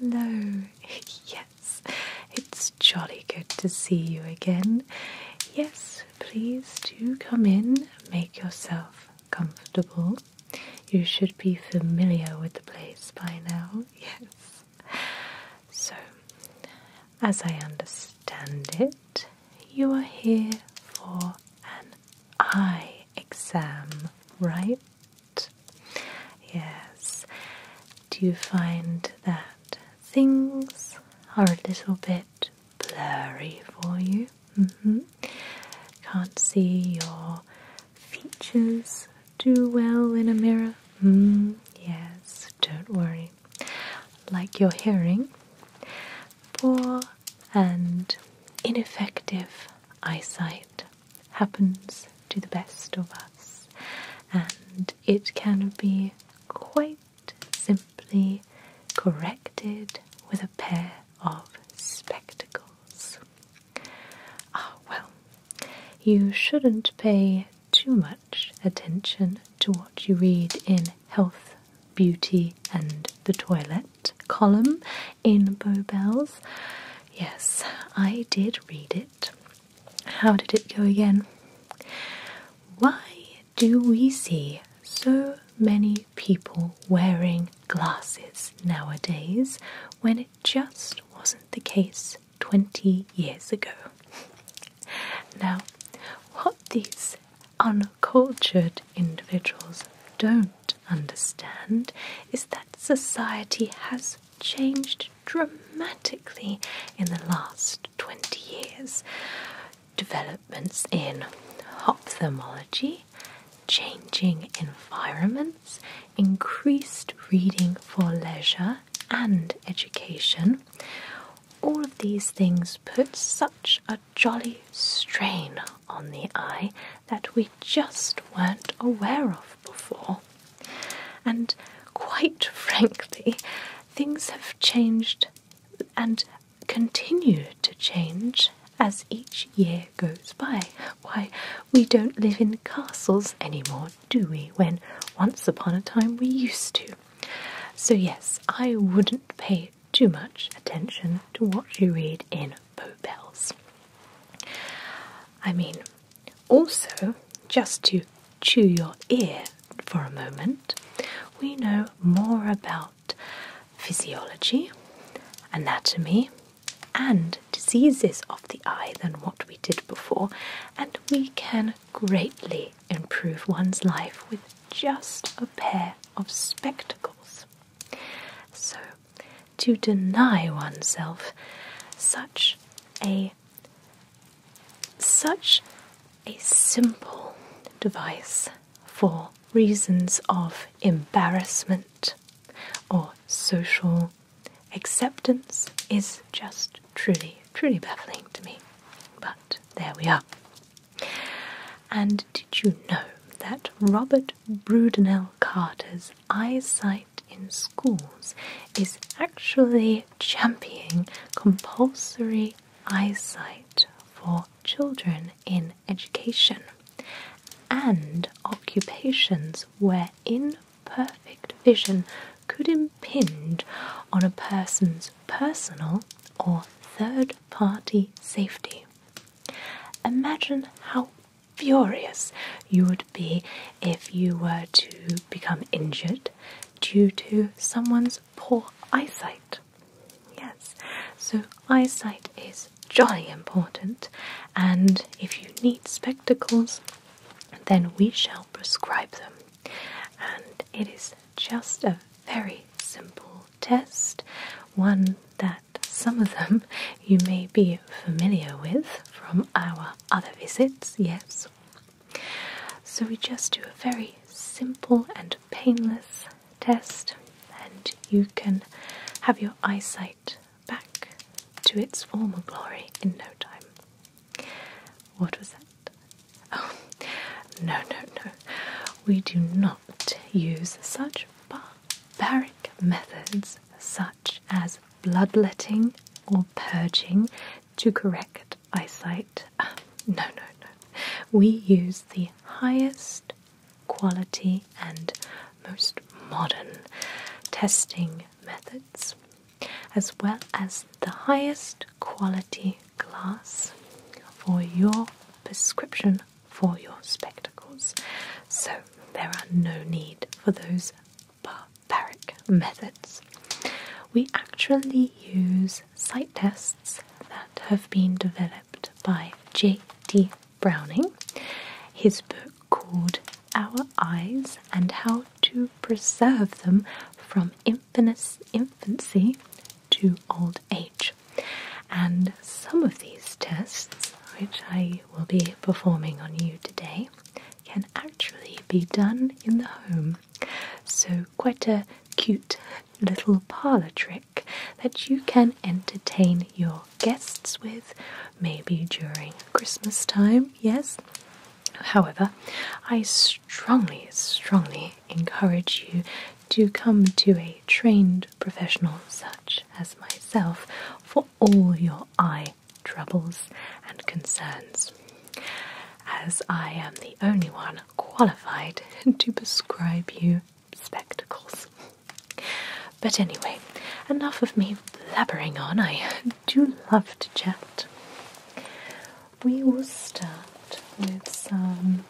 Hello, yes, it's jolly good to see you again. Yes, please do come in, make yourself comfortable. You should be familiar with the place by now, yes. So, as I understand it, you are here for an eye exam, right? Yes. Do you find that things are a little bit blurry for you? Mm-hmm. Can't see your features do well in a mirror. Mm, yes, don't worry. Like your hearing, poor and ineffective eyesight happens to the best of us, and it can be quite simply corrected with a pair of spectacles. Ah, well, you shouldn't pay too much attention to what you read in Health, Beauty, and the Toilet column in Bowbells. Yes, I did read it. How did it go again? Why do we see so many people wearing glasses nowadays when it just wasn't the case 20 years ago. now, what these uncultured individuals don't understand is that society has changed dramatically in the last 20 years. Developments in ophthalmology changing environments, increased reading for leisure and education. All of these things put such a jolly strain on the eye that we just weren't aware of before. And quite frankly, things have changed and continue to change as each year goes by. Why, we don't live in castles anymore, do we? When once upon a time we used to. So, yes, I wouldn't pay too much attention to what you read in Bowbells. I mean, also, just to chew your ear for a moment, we know more about physiology, anatomy, and diseases of the eye than what we did before, and we can greatly improve one's life with just a pair of spectacles. So, to deny oneself such a such a simple device for reasons of embarrassment or social acceptance is just truly, truly baffling to me. But there we are. And did you know that Robert Brudenell Carter's eyesight in schools is actually championing compulsory eyesight for children in education and occupations where imperfect vision could impinge on a person's personal or third party safety. Imagine how furious you would be if you were to become injured due to someone's poor eyesight. Yes, so eyesight is jolly important, and if you need spectacles, then we shall prescribe them. And it is just a very simple test, one that some of them you may be familiar with from our other visits, yes. So we just do a very simple and painless test, and you can have your eyesight back to its former glory in no time. What was that? Oh, no, no, no. We do not use such barbaric methods, such as bloodletting or purging, to correct eyesight. Ah, no, no, no. We use the highest quality, and most modern testing methods, as well as the highest quality glass for your prescription for your spectacles. So, there are no need for those barbaric methods. We actually use sight tests that have been developed by J.D. Browning, his book called Our Eyes and How to Preserve Them from Infancy to Old Age. And some of these tests, which I will be performing on you today, can actually be done in the home. So, quite a cute little parlour trick that you can entertain your guests with, maybe during Christmas time, yes. However, I strongly, strongly encourage you to come to a trained professional such as myself for all your eye troubles and concerns, as I am the only one qualified to prescribe you spectacles. But anyway, enough of me blabbering on. I do love to chat. We will start with some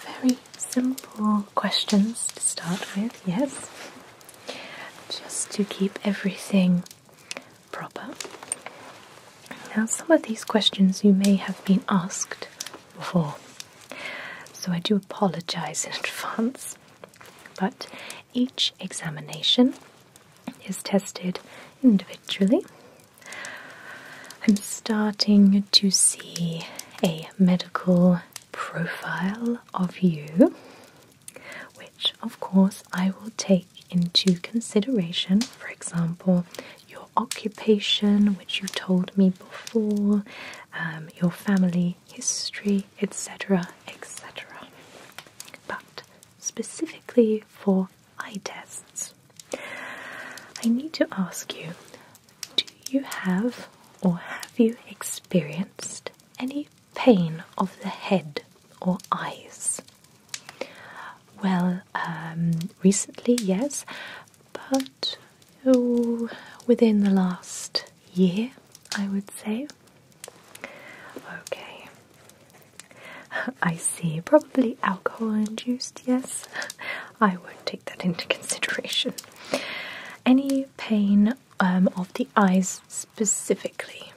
very simple questions to start with, yes, just to keep everything proper. Now, some of these questions you may have been asked before, so I do apologize in advance but each examination is tested individually. I'm starting to see a medical profile of you, which of course I will take into consideration. For example, your occupation, which you told me before, um, your family history, etc., etc. But specifically for eye tests, I need to ask you do you have or have you experienced any pain of the head or eyes? Well, um, recently, yes, but oh, within the last year, I would say. Okay. I see. Probably alcohol induced, yes. I will take that into consideration. Any pain um, of the eyes specifically?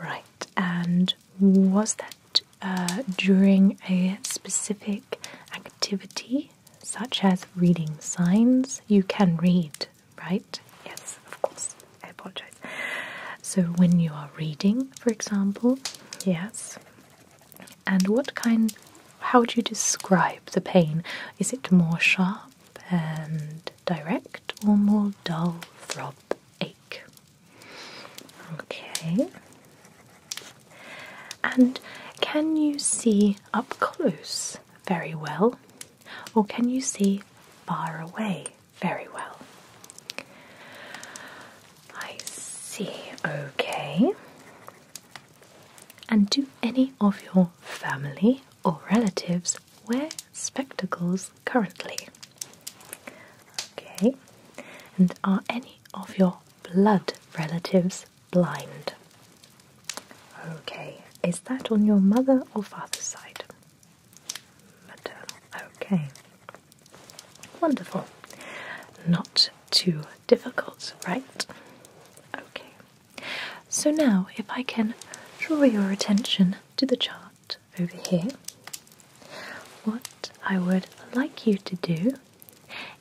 Right, and was that uh, during a specific activity? such as reading signs. You can read, right? Yes, of course. I apologize. So, when you are reading, for example, yes. And what kind, how would you describe the pain? Is it more sharp and direct or more dull throbbing ache? Okay. And can you see up close very well, or can you see far away very well? I see, okay. And do any of your family or relatives wear spectacles currently? Okay. And are any of your blood relatives blind. Okay, is that on your mother or father's side? Maternal. Okay. Wonderful. Not too difficult, right? Okay. So now, if I can draw your attention to the chart over here, what I would like you to do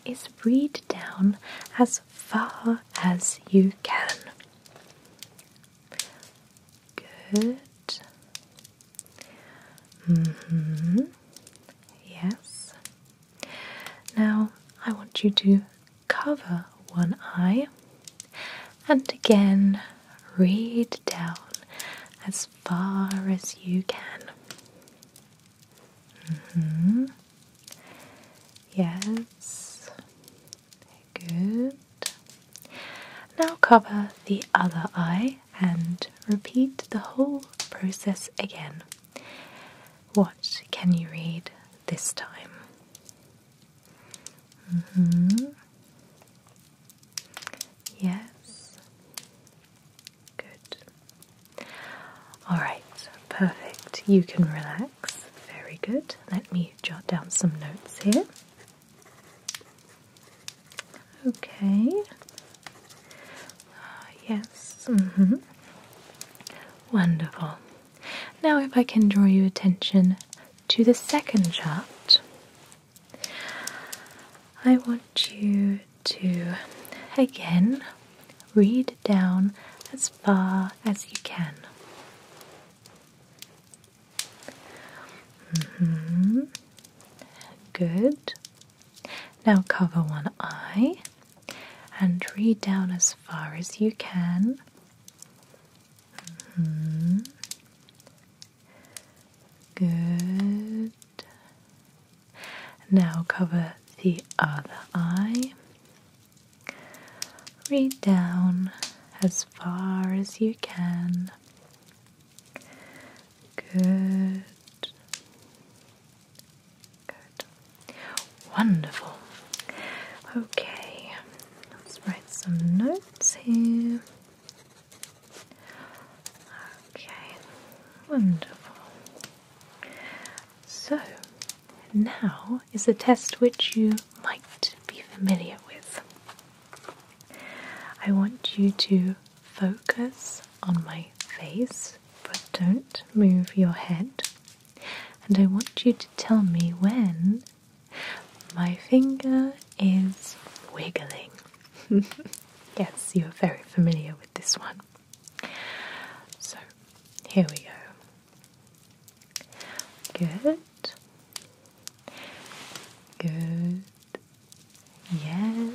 is read down as far as you can. Good. Mm-hmm. Yes. Now I want you to cover one eye and again read down as far as you can. Mm-hmm. Yes, good. Now cover the other eye and repeat the whole process again. What can you read this time? Mm-hmm. Yes, good. Alright, perfect. You can relax. Very good. Let me jot down some notes here. Okay. Ah, yes. Mm-hmm. Wonderful. Now, if I can draw your attention to the second chart, I want you to again read down as far as you can. -hmm. Good. Now cover one eye and read down as far as you can. -hmm. Good. Now cover the other eye. Read down as far as you can. Good. Good. Wonderful. Okay, let's write some notes here. Okay, wonderful. So, now is a test which you might be familiar with. I want you to focus on my face, but don't move your head. And I want you to tell me when my finger is wiggling. yes, you're very familiar with this one. So here we go. Good. Good. Yes.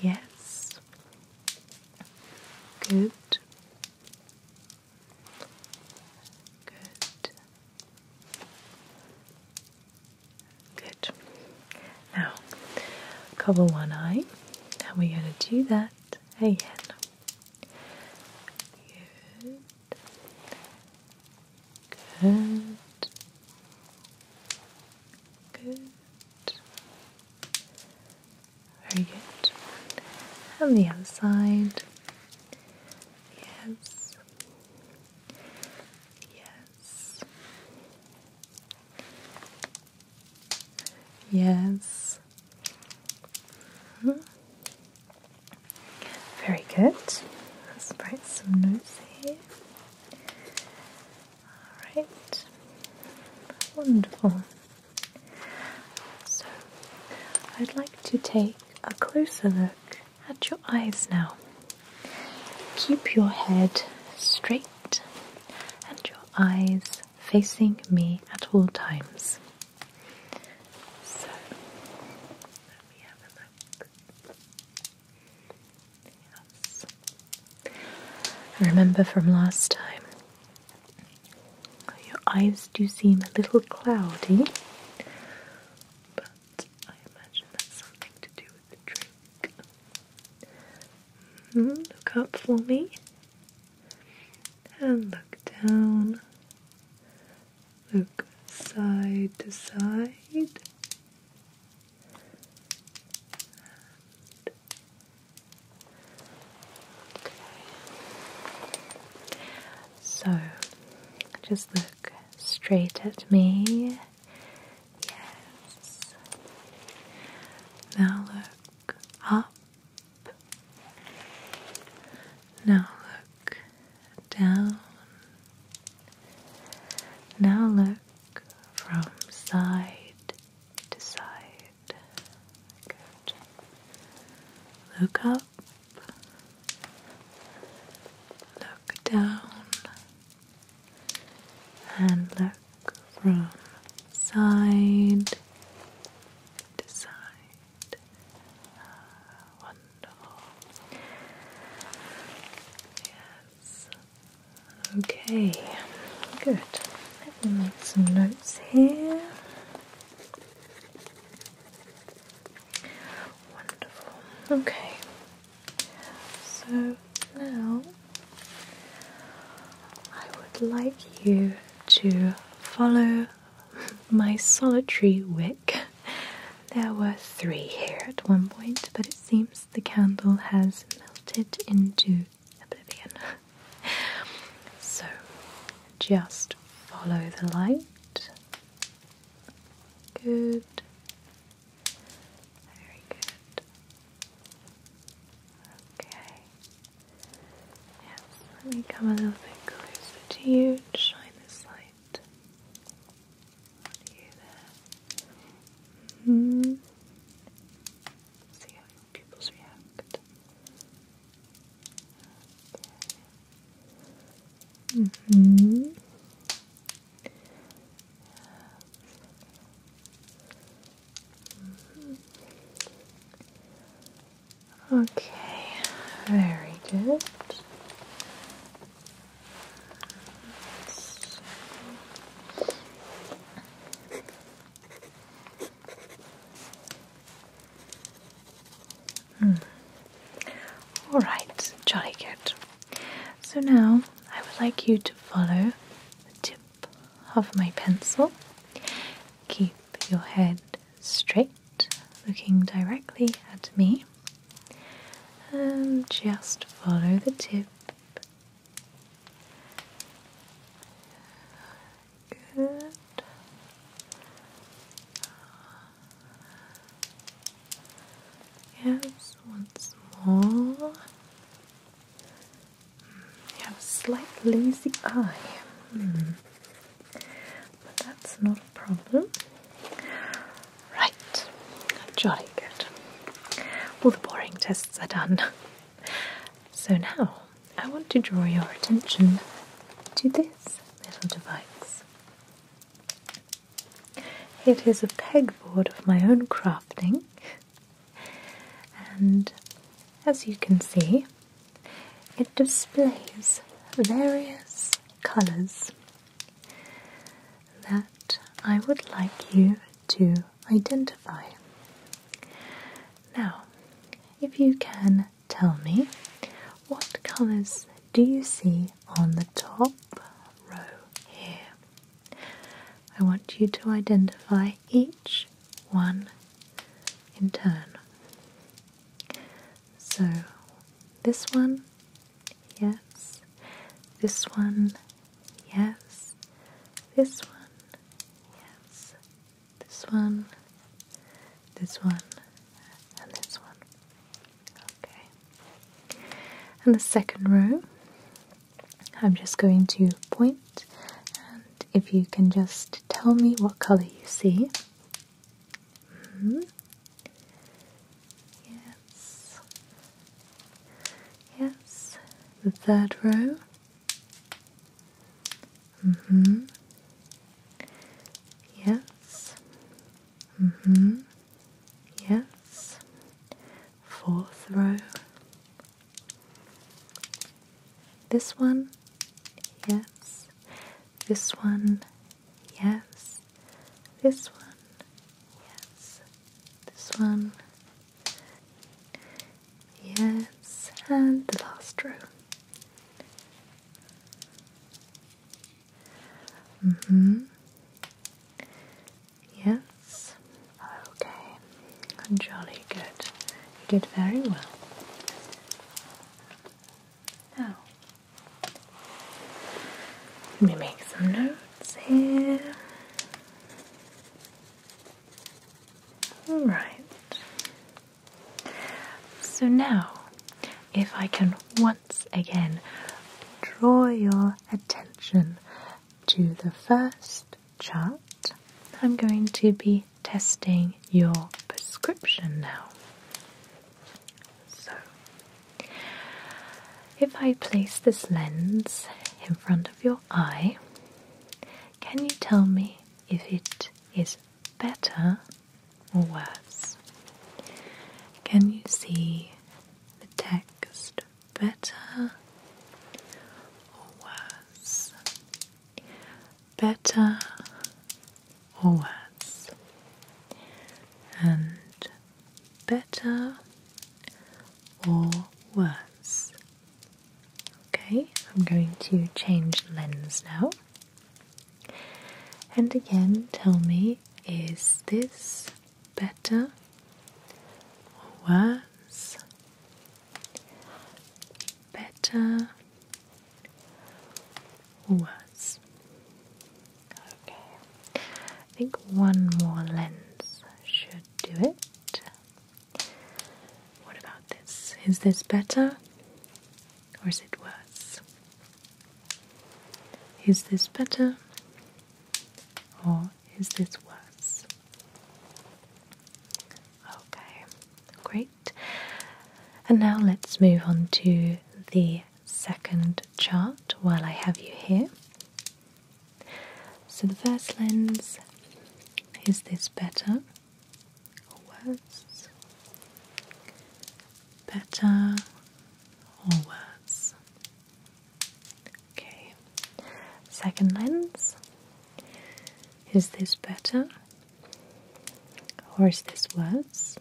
Yes. Good. Good. Good. Now, cover one eye, and we're going to do that again. Good. Good. Very good. And the outside. Yes. Yes. Yes. Very good. Let's write some notes here. Alright. Wonderful. So, I'd like to take a closer look at your eyes now. Keep your head straight and your eyes facing me at all times. So, let me have a look. Yes. I remember from last time, your eyes do seem a little cloudy, but I imagine that's something to do with the drink. Mm-hmm. Look up for me and look down. Look side to side. okay. So just look straight at me Yes. Now look up. Now look down. Now look from side to side. Look up. Look down and look from side to side. Ah, wonderful. Yes. Okay, good. Let me make some notes here. Wonderful. Okay, so now I would like you to follow my solitary wick. There were three here at one point, but it seems the candle has melted into oblivion. so just follow the light. Good. Very good. Okay. Yes, let me come a little bit closer to you and shine this light you there. Mm-hmm. See how your pupils react. Mm Mm-hmm. Okay, very good. So. Hmm. All right, jolly good. So now I would like you to follow the tip of my pencil. Keep your head straight, looking directly at me, and just follow the tip. Good. Yes, once more. You have a slight lazy eye, hmm. but that's not a problem. Right, jolly good. All the boring tests are done. So now I want to draw your attention to this little device. It is a pegboard of my own crafting and as you can see, it displays various colours that I would like you to identify. Now, if you can tell me what colours do you see on the top row here? I want you to identify each one in turn. So, this one, yes. This one, yes. This one, yes. This one, this one, and this one. Okay. And the second row, I'm just going to point, and if you can just tell me what colour you see. Hmm. Yes. Yes. third row. Mm-hmm. Yes. Mm-hmm. Yes. Fourth row. This one, yes. This one, yes. This one, yes. This one, yes. And the last row. hmm. Yes? Okay. Jolly good. You did very well. Now, let me make some notes here. Alright. So now, if I can once again draw your attention to the first chart, I'm going to be testing your prescription now. So, if I place this lens in front of your eye, can you tell me if it is better or worse? Can you see the text better or worse? Better or worse? And better or worse? Okay, I'm going to change lens now. And again, tell me is this better or worse, better or worse. Okay, I think one more lens should do it. What about this? Is this better or is it worse? Is this better or is this worse? Okay, great. And now let's move on to the second chart while I have you here. So, the first lens is this better or worse? Better or worse? Okay, second lens. Is this better or is this worse?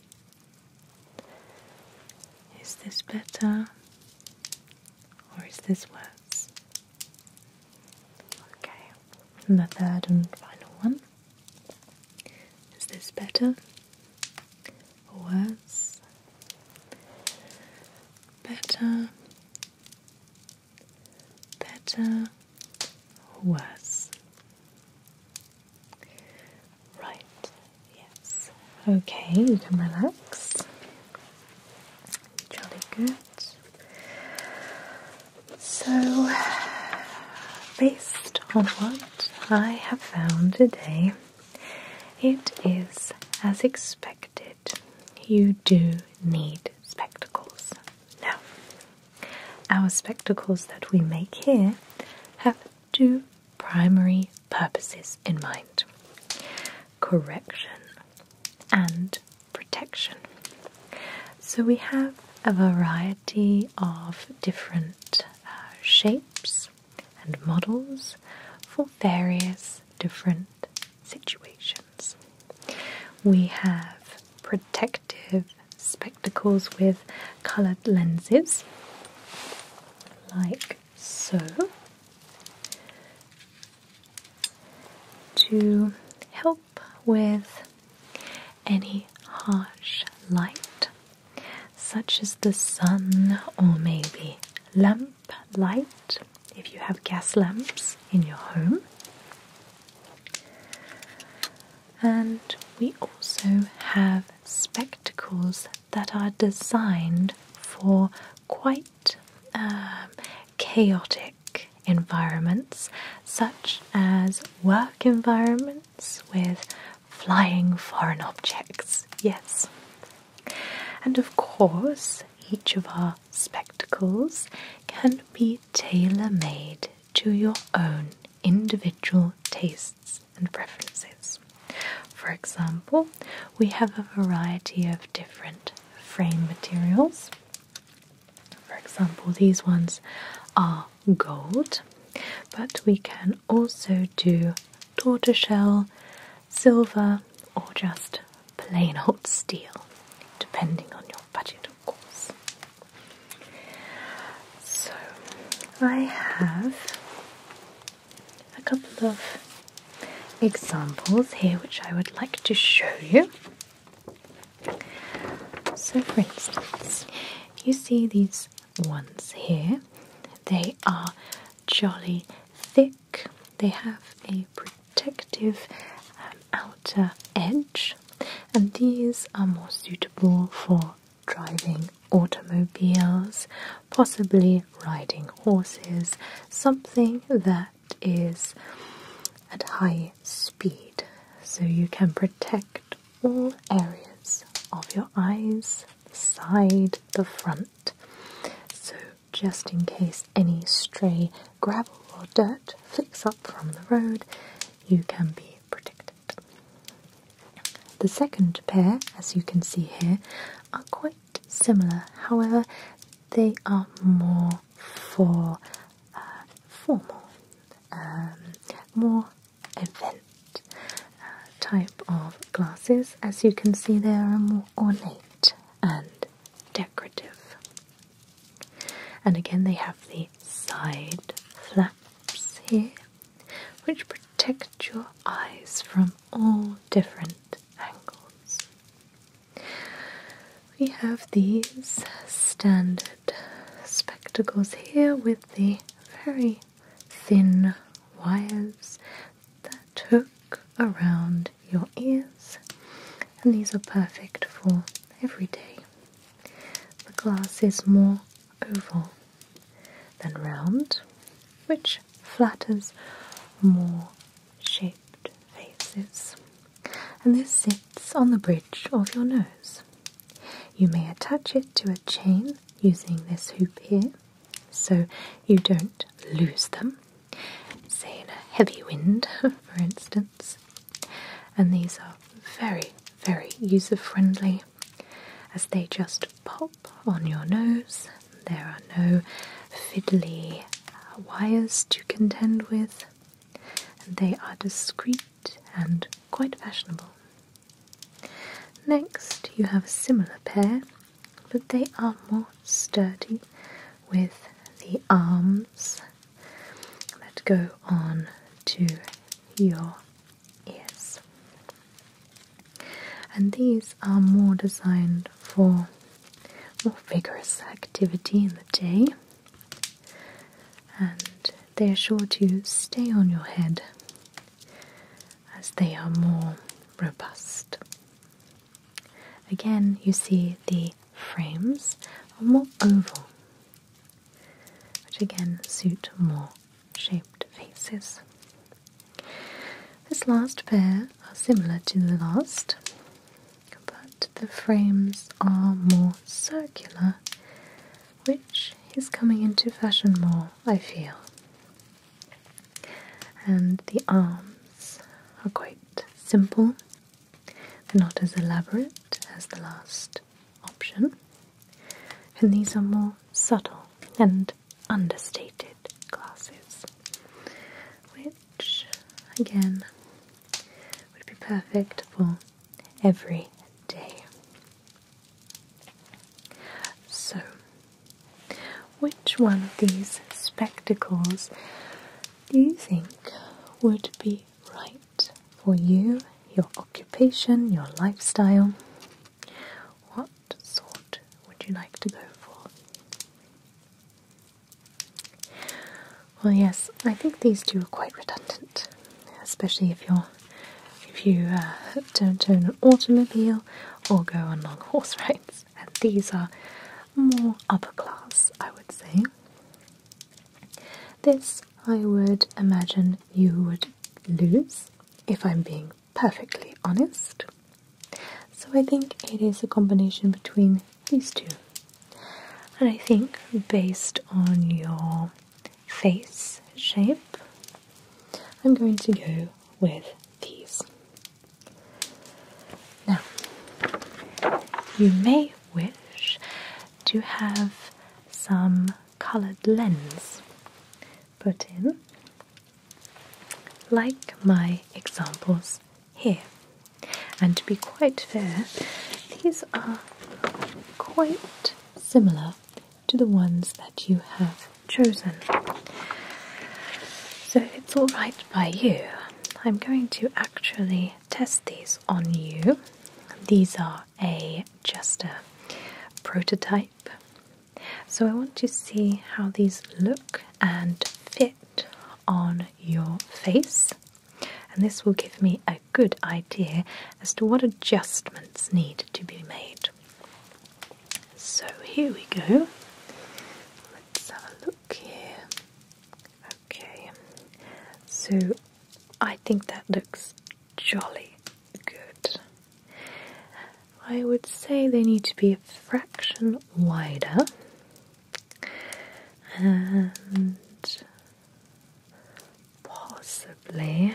Is this better or is this worse? Okay, and the third and final one. Is this better worse? Better better, worse. Right, yes. Okay, you can relax. Jolly good. So, based on what I have found today, it is as expected you do need spectacles. Now, our spectacles that we make here have two primary purposes in mind correction and protection. So we have a variety of different uh, shapes and models for various different situations. We have protective spectacles with coloured lenses, like so, to help with any harsh light, such as the sun or maybe lamp light if you have gas lamps in your home. And we also have spectacles that are designed for quite um, chaotic environments, such as work environments with flying foreign objects. Yes. And of course, each of our spectacles can be tailor made to your own individual tastes and preferences. For example, we have a variety of different frame materials. For example, these ones are gold, but we can also do tortoiseshell, silver, or just plain hot steel, depending on your budget, of course. So, I have a couple of examples here which I would like to show you. So, for instance, you see these ones here, they are jolly thick they have a protective um, outer edge, and these are more suitable for driving automobiles, possibly riding horses, something that is at high speed. So you can protect all areas of your eyes, the side, the front. So just in case any stray gravel or dirt flicks up from the road, you can be protected. The second pair, as you can see here, are quite similar, however, they are more for uh, formal, um, more event uh, type of glasses. As you can see, they are more ornate and decorative. And again, they have the side flaps here, which protect your eyes from all different angles. We have these standard spectacles here with the very thin wires that hook around your ears, and these are perfect for every day. The glass is more oval than round, which flatters more shaped faces. And this sits on the bridge of your nose. You may attach it to a chain using this hoop here, so you don't lose them, say in a heavy wind, for instance. And these are very, very user friendly as they just pop on your nose. There are no fiddly uh, wires to contend with, and they are discreet and quite fashionable. Next, you have a similar pair but they are more sturdy with the arms that go on to your ears. And these are more designed for more vigorous activity in the day, and they are sure to stay on your head as they are more robust. Again, you see the frames are more oval, which again suit more shaped faces. This last pair are similar to the last, but the frames are more circular, which is coming into fashion more, I feel and the arms are quite simple. They're not as elaborate as the last option, and these are more subtle and understated glasses, which again would be perfect for every day. So, which one of these spectacles do you think would be right for you, your occupation, your lifestyle? What sort would you like to go for? Well, yes, I think these two are quite redundant, especially if you uh, don't own an automobile or go on long horse rides and these are more upper class, I would say. This, I would imagine, you would lose if I'm being perfectly honest. So I think it is a combination between these two. And I think, based on your face shape, I'm going to go with these. Now, you may wish to have some coloured lens put in, like my examples here. And to be quite fair, these are quite similar to the ones that you have chosen. So it's all right by you. I'm going to actually test these on you. These are a just a prototype. So I want to see how these look and fit on your face. And this will give me a good idea as to what adjustments need to be made. So here we go. Let's have a look. Okay, okay. So I think that looks jolly good. I would say they need to be a fraction wider and possibly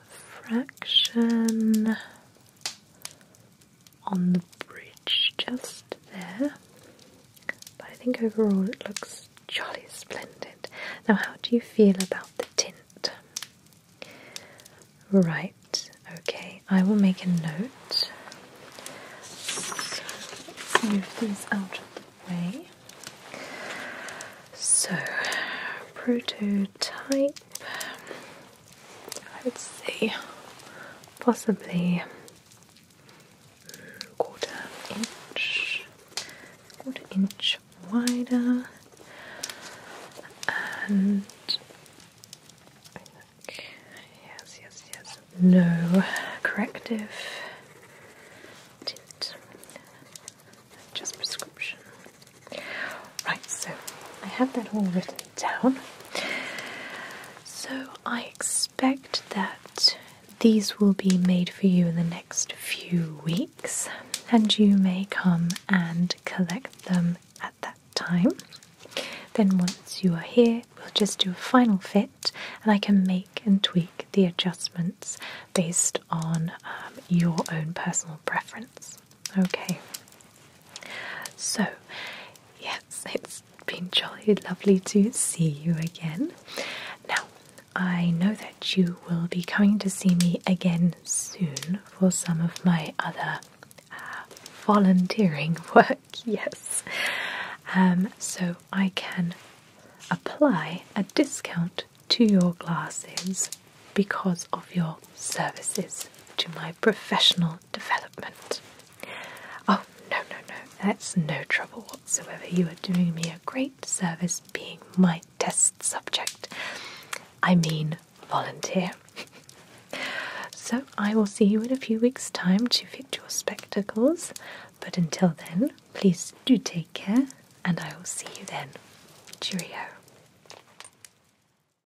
a fraction on the bridge just there. But I think overall it looks jolly splendid. Now, how do you feel about the tint? Right, okay, I will make a note. So let's move these out of the way. So, prototype. Let's see. possibly quarter inch, quarter inch wider, and yes, yes, yes, no corrective tint, just prescription Right, so I have that all written down. So I expect that these will be made for you in the next few weeks, and you may come and collect them at that time. Then, once you are here, we'll just do a final fit, and I can make and tweak the adjustments based on um, your own personal preference. Okay. So, yes, it's been jolly lovely to see you again. Now, I know that you will be coming to see me again soon for some of my other uh, volunteering work, yes. Um, so, I can apply a discount to your glasses because of your services to my professional development. Oh, no, no, no, that's no trouble whatsoever. You are doing me a great service being my test subject. I mean, volunteer. so, I will see you in a few weeks' time to fit your spectacles, but until then, please do take care, and I will see you then. Cheerio.